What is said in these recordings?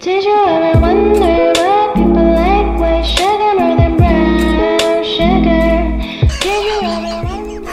Did you ever wonder why people like white sugar more than brown sugar? Did you ever wonder?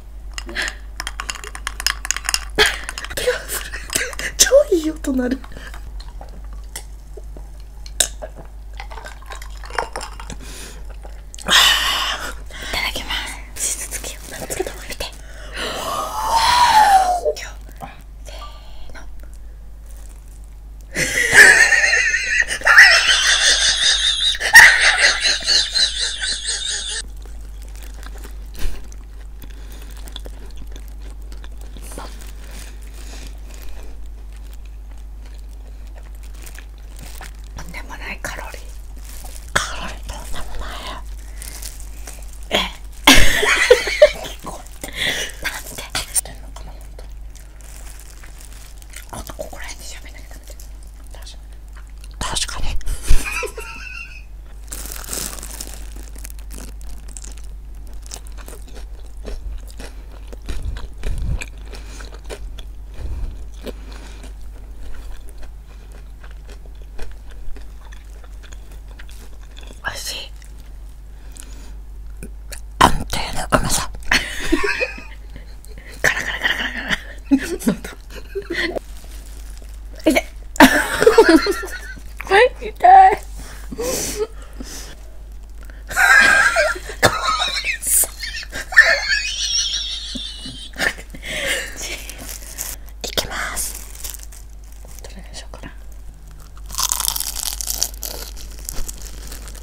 手が震えて超いい音鳴るいただきます手術器をつけた方が見てせーのとんでもないカロリーカロリーえ なんでしてんのかなほんともここら辺でしゃべんなきゃダメだよ確かに確かにおいしい安定のうまさ カラカラカラカい痛いいきますどれでしょうか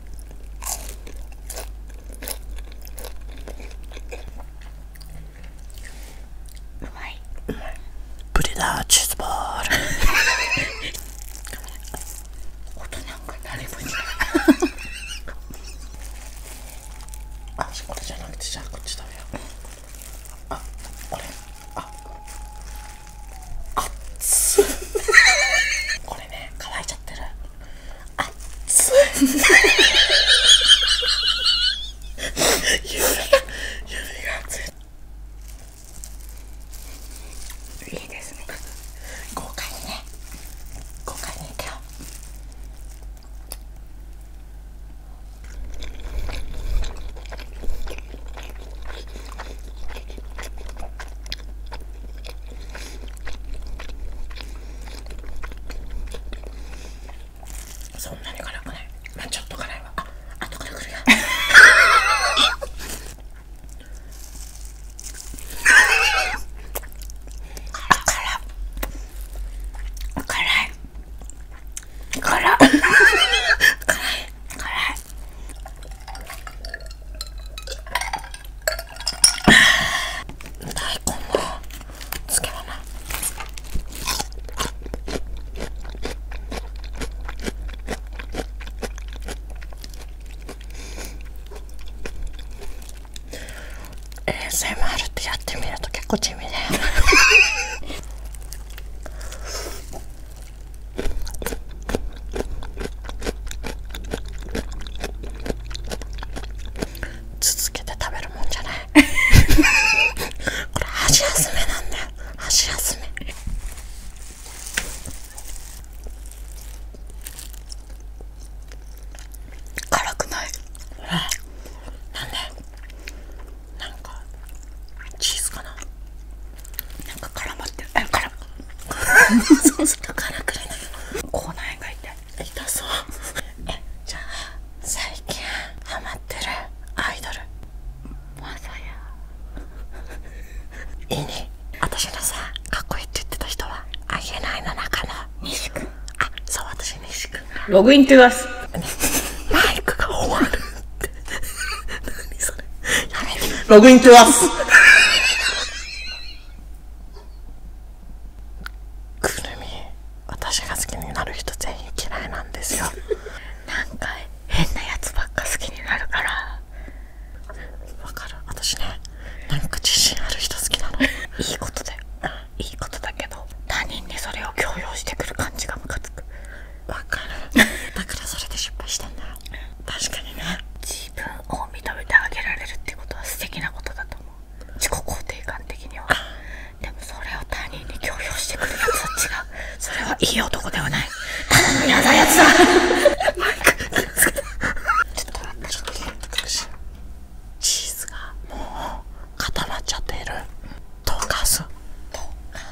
ういブリダチーール 音なんか誰もいなあこれじゃなくてじゃあこっち食よあこれああっ これね乾いちゃってるあっつ指が指が熱いいいですね豪快にね豪快にいけよそんなに辛くないまあちょっと辛いわあとからくる辛い辛い辛い辛い辛い大根の漬け花えー、セマルってやってみると結構地味だよね続けて食べるもんじゃない これ箸休めなんだよ箸休め辛くない、うん、なんでなんかチーズかななんか絡まってるえ絡む そうすると絡くれない口内炎がいて、痛そうえじゃあ最近ハマってるアイドルまさやいいね私のさかっこいいって言ってた人はあげないの中の西君あそう私西君ログインって言いますマイクが終わるって 何それやべログインしてます くるみ私が好きになる人全員嫌いなんですよなんか変なやつばっか好きになるからわかる私ねなんか自信ある人好きなのいいことで、いいことだけど他人にそれを強要してくる感じがムカつく分かるだからそれで失敗したんだ確かにね自分を認めてあげられるってことは素敵なことだと思う自己肯定感的にはでもそれを他人に強要してくるやつは違うそれはいい男ではないただの嫌なやつだマイクちょっと待ってちょっと待ってチーズがもう固まっちゃっている溶かす溶か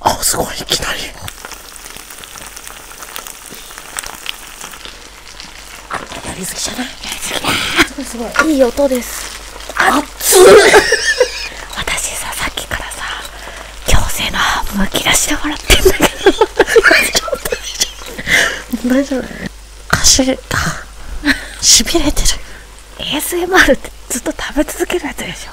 あすごいいきなりやりすぎじゃないすごいすごいいい音です熱い私ささっきからさ強制のハーブを切らしてもらってんだけど 大丈夫歌手がしびれてる ASMR ってずっと食べ続けるやつでしょ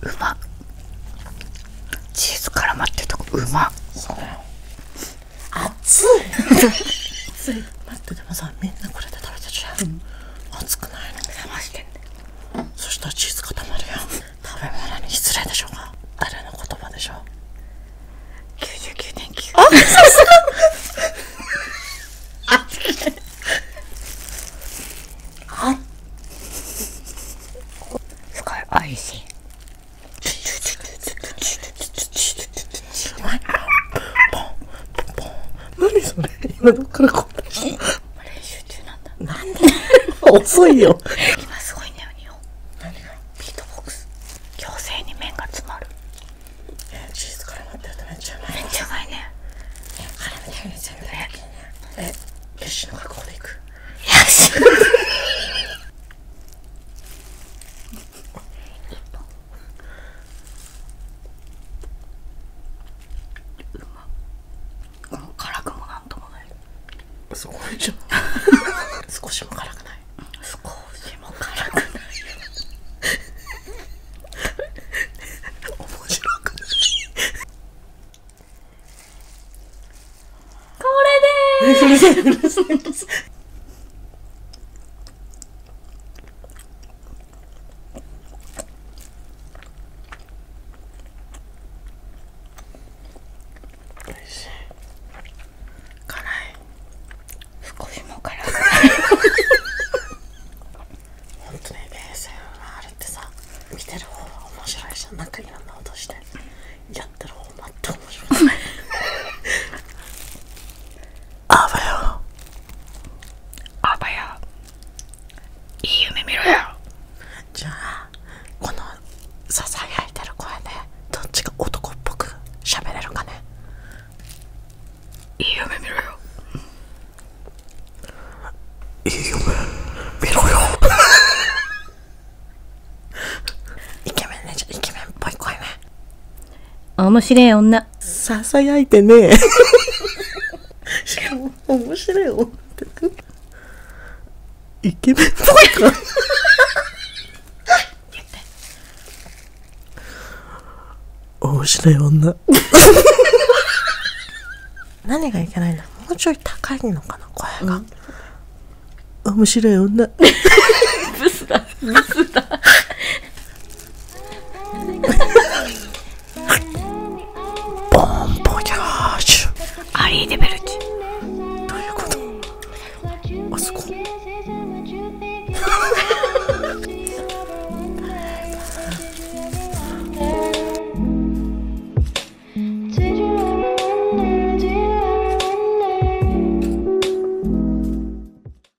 うまチーズ絡まってとこうま熱い熱い待ってでもさみんなこれで食べちゃう、熱くないの目覚ましてんそしたらチーズ固まるやん食べ物に失礼でしょうか誰の言葉でしょう99.9あさすがあっあすごいおいしいポンポンポン何それ今どっからこんな練習中なんだなんで 遅いよ今すごいんだよ何がビートボックス強制に麺が詰まるえチーズ絡まってるとめっちええよしの学校で行くよし もう辛くもなんともない 少しも辛くない少しも辛くない面白くないこれです おいしい辛い少しも辛い本当に ASMR ってさ見てる方が面白いじゃんなんかいろんしてやってる方が全く面白いあばよあばよいい夢見ろよじゃあこのささやいてる声ねどっちが男っぽく喋れるかねいい夢見ろよいい夢見ろよイケメンねじゃイケメンっぽい声ね面白い女な、囁いてね面白い面白い女。何がいけないんもうちょい高いのかな、声が。面白い女。ブスだ、ブスだ。ボンボジャーシュアリーデベルチどういうことあそこ